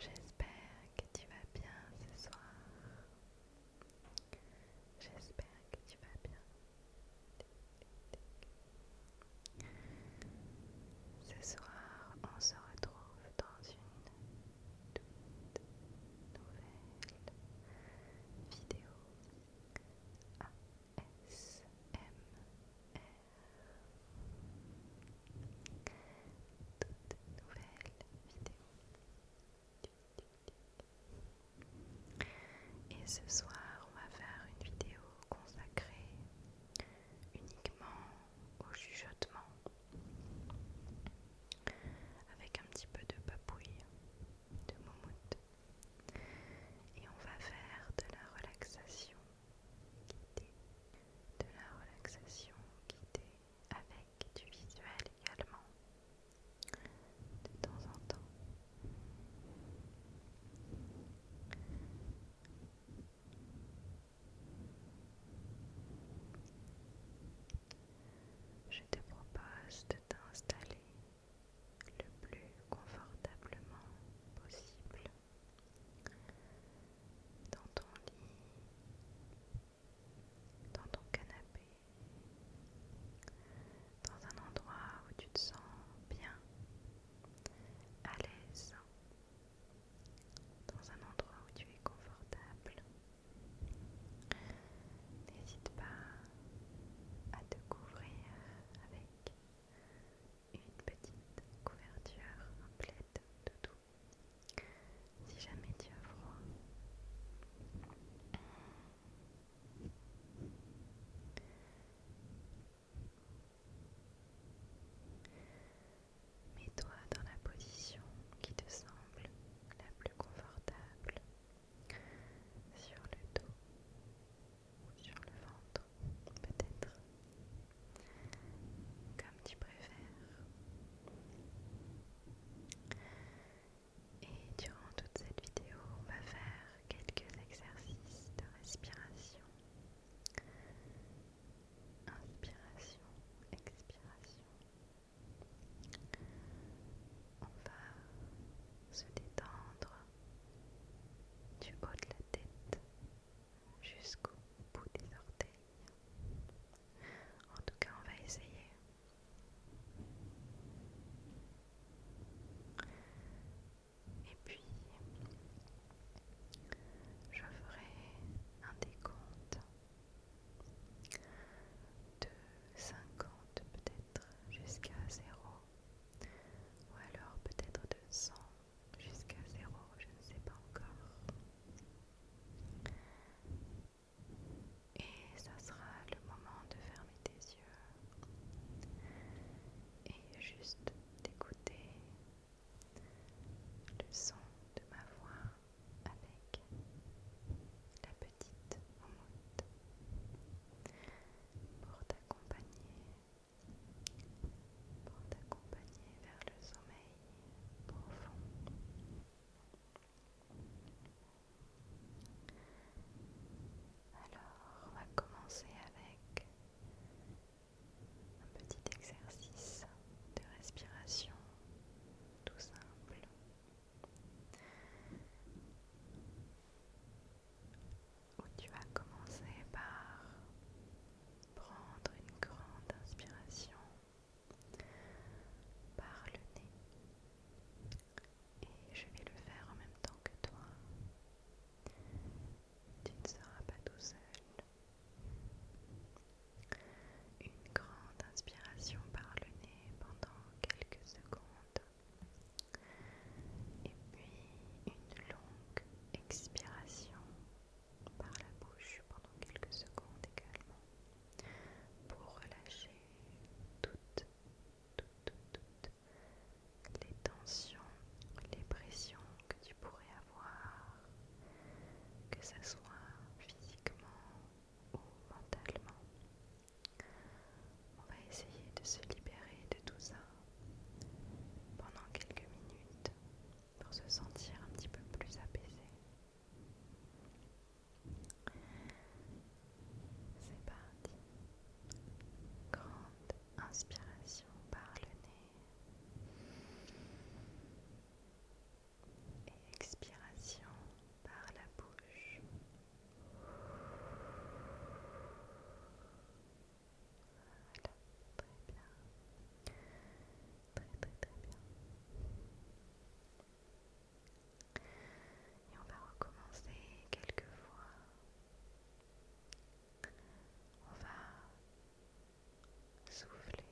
J'espère que tu vas bien ce soir. J'espère que tu vas bien. Ce soir, on se retrouve dans une toute nouvelle vidéo ASMR. Toute nouvelle vidéo. Et ce soir, on va faire une vidéo consacrée uniquement au chuchotement avec un petit peu de papouille, de moumoute. Et on va faire de la relaxation guidée, de la relaxation guidée avec du visuel également, de temps en temps. Je te propose de t'installer le plus confortablement possible dans ton lit, dans ton canapé, dans un endroit où tu te sens bien, à l'aise, dans un endroit où tu es confortable. N'hésite pas à te couvrir avec une petite couverture, un plaid doudou, si jamais tu as froid. Mets-toi dans la position qui te semble la plus confortable sur le dos ou sur le ventre peut-être comme tu préfères et durant toute cette vidéo on va faire quelques exercices de respiration. Inspiration, expiration. On va se détendre du haut de la tête jusqu'au bout des orteils. En tout cas, on va essayer. Et puis, je ferai un décompte de 50 peut-être jusqu'à 0, ou alors peut-être de 100 jusqu'à 0, je ne sais pas encore. Et ça sera le moment de fermer tes yeux et juste d'écouter le son de ma voix avec la petite onde pour t'accompagner pour t'accompagner vers le sommeil profond. Alors, on va commencer avec un petit exercice de respiration tout simple. Où tu vas commencer par prendre une grande inspiration par le nez et je vais le faire en même temps que toi. Tu ne seras pas tout seul. Une grande inspiration par le nez pendant quelques secondes. Et puis une longue expiration par la bouche pendant quelques secondes également pour relâcher toute, toute, toute, toute les tensions, les pressions que tu pourrais avoir, que ce soit physiquement ou mentalement. On va essayer de se libérer de tout ça pendant quelques minutes pour se sentir un petit peu plus apaisé. C'est parti. Grande inspiration par le nez et expiration par la bouche. Voilà, très bien. Très très très bien. Et on va recommencer quelques fois. On va souffler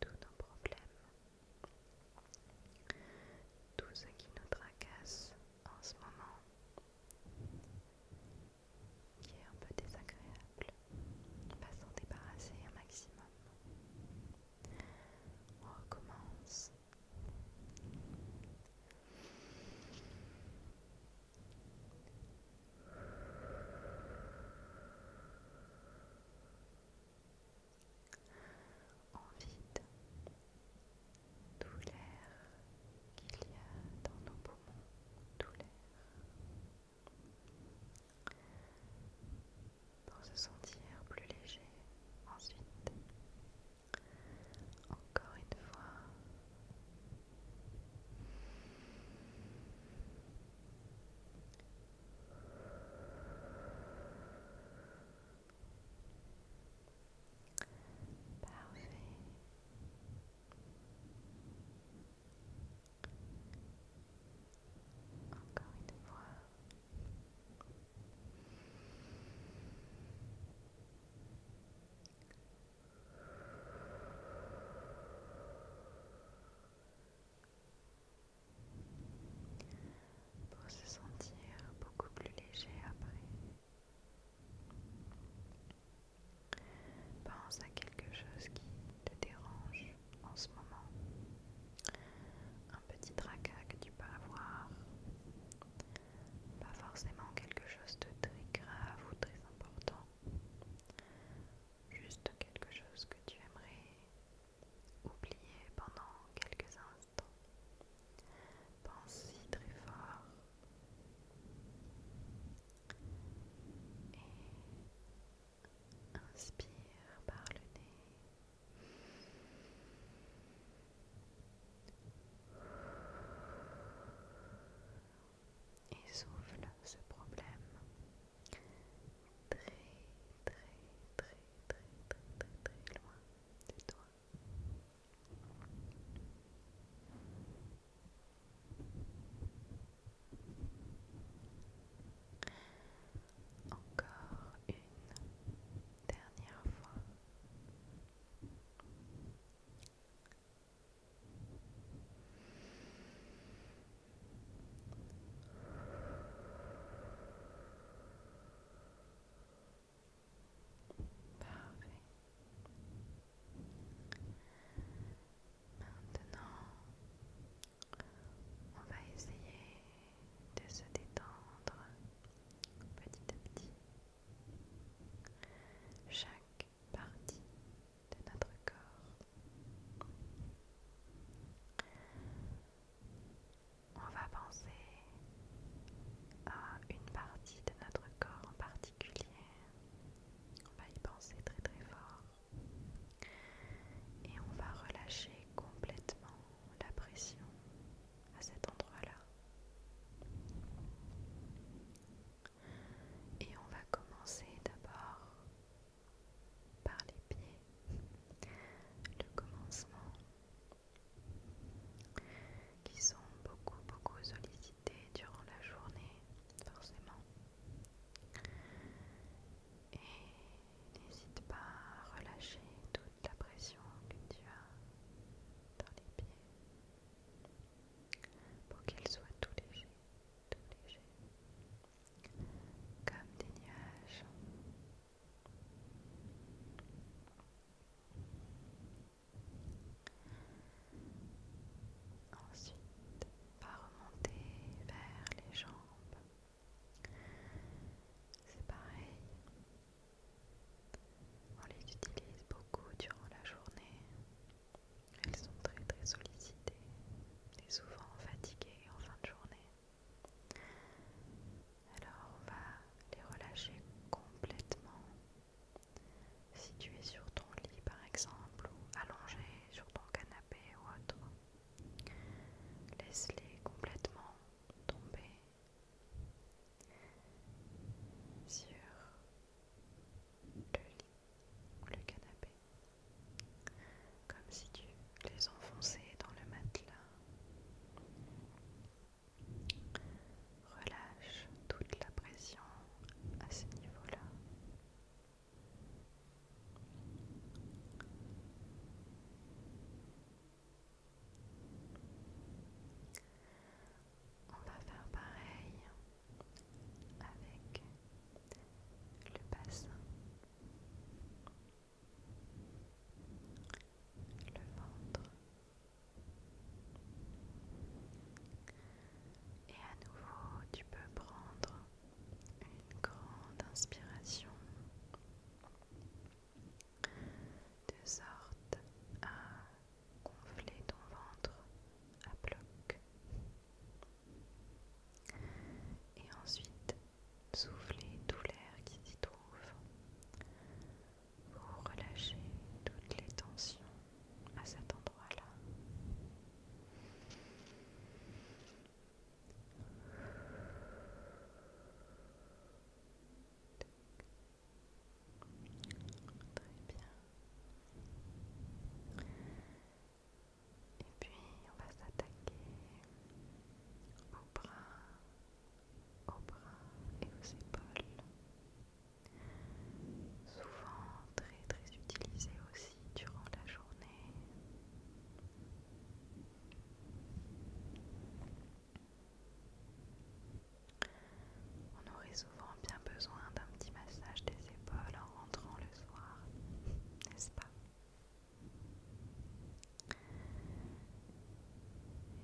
tous nos problèmes, tout ce qui nous tracasse en ce moment, qui est un peu désagréable. On va s'en débarrasser un maximum. On recommence en vide tout l'air qu'il y a dans nos poumons, tout l'air, pour se sentir plus léger ensuite. Encore une fois. Parfait. Encore une fois pour se sentir beaucoup plus léger après. Pense à quelque chose qui te dérange en ce moment. Un petit tracas que tu peux avoir, pas forcément quelque chose de très grave ou très important, juste quelque chose que tu aimerais oublier pendant quelques instants. pense très fort et inspire par le nez. Et souffle ce problème très, très, très, très, très, très, très loin de toi. Encore une dernière fois. Parfait. Maintenant, on va essayer de se détendre petit à petit chaque partie de notre corps. On va penser à une partie de notre corps en particulier. On va y penser très très fort. Et on va relâcher complètement la pression à cet endroit-là. Et on va commencer d'abord par les pieds, le commencement, qui sont beaucoup, beaucoup sollicités durant la journée, forcément. Et n'hésite pas à relâcher tout la pression que tu as dans les pieds pour qu'ils soient tout légers, tout léger comme des nuages. Ensuite, va remonter vers les jambes. C'est pareil, on les utilise beaucoup durant la journée. Elles sont très très sollicitées et souvent fatiguées en fin de journée. Alors on va les relâcher complètement. Si tu es sur ton lit par exemple ou allongé sur ton canapé ou autre, laisse-les complètement tomber sur le lit ou le canapé, comme si tu les enfonçais dans le matelas. Relâche toute la pression à ce niveau-là. On va faire pareil avec le bassin, le ventre et à nouveau tu peux prendre une grande inspiration de sorte à gonfler ton ventre à bloc. Et ensuite, souffler tout l'air qui s'y trouve pour relâcher toutes les tensions à cet endroit-là. Très bien. Et puis on va s'attaquer aux bras, aux bras et aux épaules. Souvent très très utilisé aussi durant la journée. On aurait souvent bien besoin d'un petit massage des épaules en rentrant le soir, n'est-ce pas Et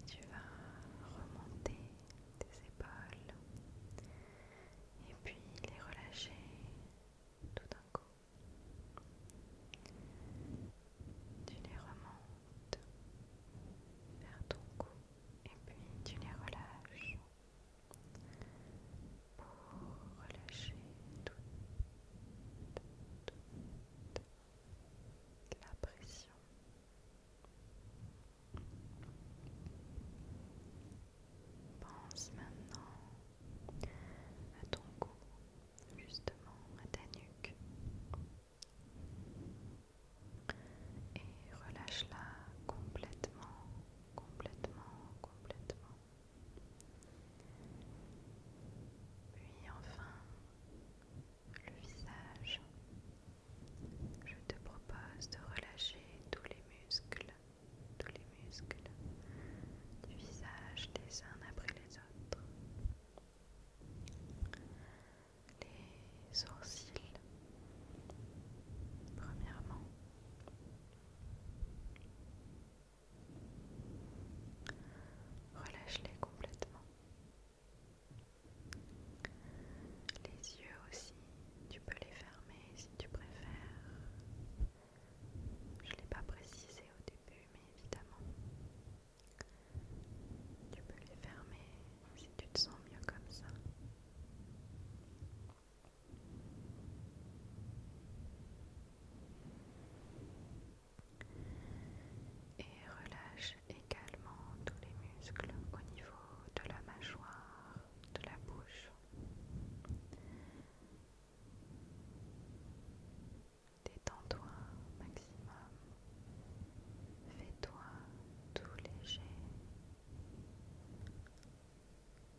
tu vas remonter tes épaules et puis les relâcher tout d'un coup tu les remontes vers ton cou et puis tu les relâches pour relâcher toute, la pression. Pense maintenant à ton cou, justement à ta nuque. Et relâche-la complètement, complètement, complètement. Puis enfin, le visage. Je te propose de relâcher tous les muscles, tous les muscles du visage des uns après les autres les sourcils, premièrement. Relâche-les complètement. Les yeux aussi, tu peux les fermer si tu préfères. Je ne l'ai pas précisé au début, mais évidemment, tu peux les fermer si tu te sens mieux comme ça. Et relâche également tous les muscles au niveau de la mâchoire, de la bouche. Détends-toi maximum. Fais-toi tout léger.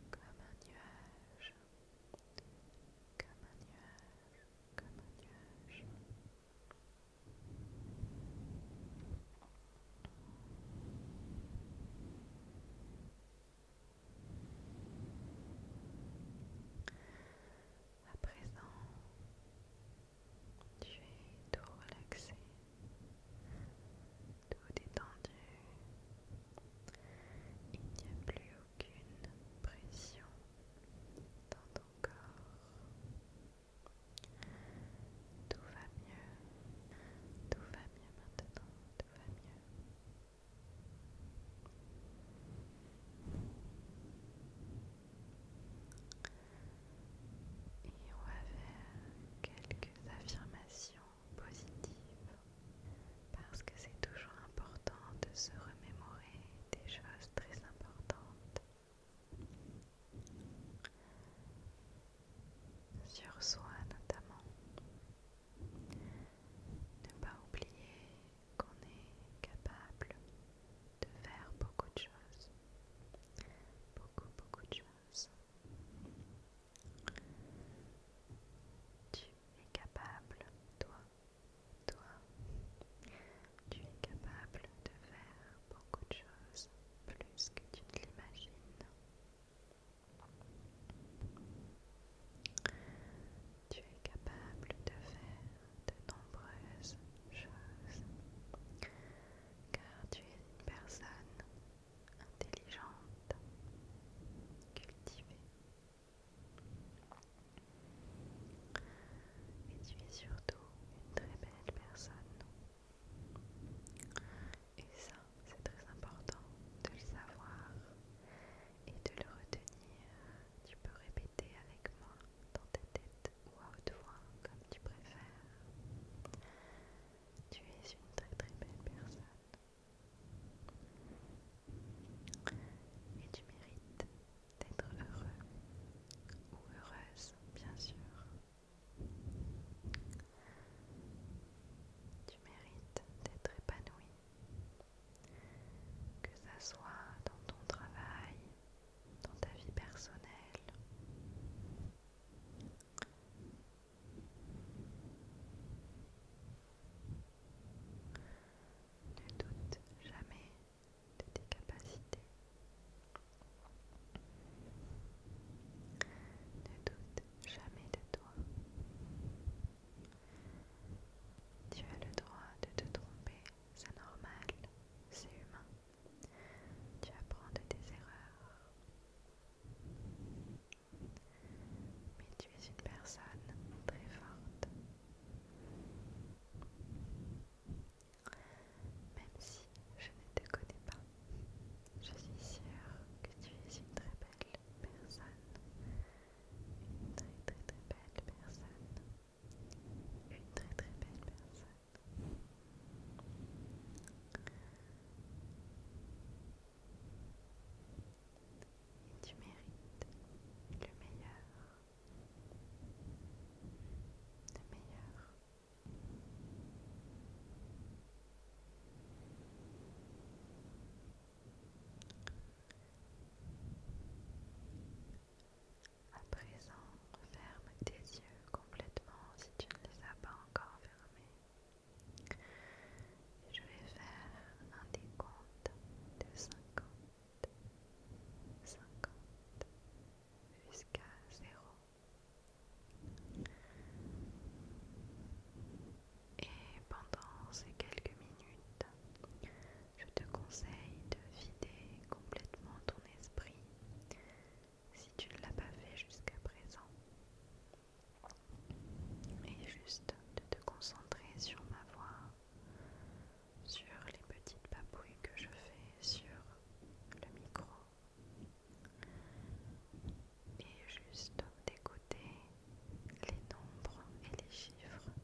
Comme un nuage. Comme un nuage. Comme un nuage. À présent, tu es tout relaxé, tout détendu. Il n'y a plus aucune pression dans ton corps. Tout va mieux. Tout va mieux maintenant. Tout va mieux. Et on va faire quelques affirmations positives parce que c'est toujours important de se remémorer des choses très importantes sur soi notamment. Ne pas oublier qu'on est capable de faire beaucoup de choses. Beaucoup, beaucoup de choses. Tu es capable, toi, toi, tu es capable de faire beaucoup de choses, plus que tu ne l'imagines. Tu es capable de faire de nombreuses choses, car tu es une personne intelligente, cultivée, et tu es surtout une très belle personne. Et ça, c'est très important de le savoir et de le retenir. Tu peux répéter avec moi dans ta tête ou à haute voix, comme tu préfères. Tu es une très très belle personne. Et tu mérites d'être heureux ou heureuse, bien sûr. Tu mérites d'être épanouie, que ça soit dans ton travail, dans ta vie personnelle. Ne doute jamais de tes capacités. Ne doute jamais de toi. Tu as le droit de te tromper. C'est normal, c'est humain. Tu apprends de tes erreurs. Mais tu es une personne très forte. Même si je ne te connais pas, je suis sûre que tu es une très belle personne. Une très très très belle personne. Une très très belle personne. tu mérites le meilleur. Le meilleur. À présent, ferme tes yeux complètement si tu ne les as pas encore fermés. Je vais faire un décompte de 50, 50 jusqu'à 0. Et pendant ces quelques minutes, je te conseille de vider complètement ton esprit si tu ne l'as pas fait jusqu'à présent. Et juste de te concentrer sur ma voix, sur les petites papouilles que je fais sur le micro. Et juste d'écouter les nombres et les chiffres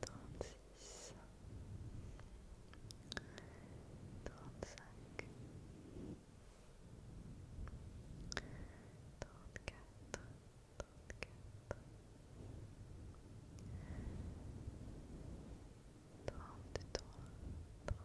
trente-six, trente-cinq, trente-quatre, trente trois trente-trois,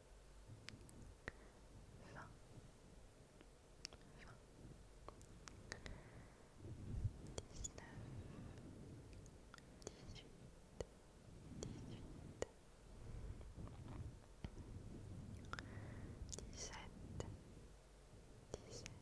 Vingt Dix-neuf Dix-huit Dix-sept Dix-sept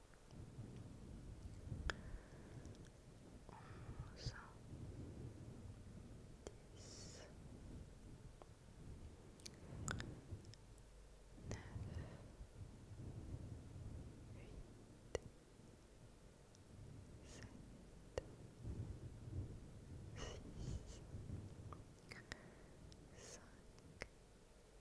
onze, dix, neuf, huit, sept, six, cinq, 4, 3, 2, 1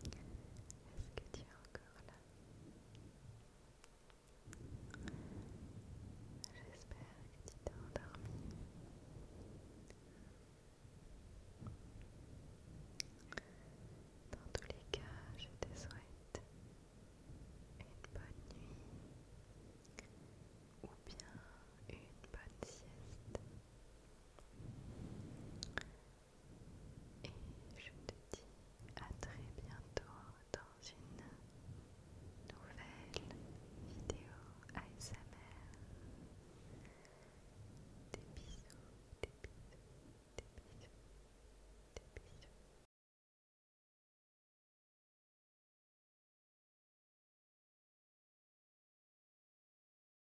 Est-ce que tu es encore là J'espère que tu t'es endormi. Dans tous les cas, je te souhaite une bonne nuit ou bien une bonne sieste. Et je te dis à très bientôt dans une nouvelle vidéo ASMR. Des bisous, des bisous, des bisous, des bisous.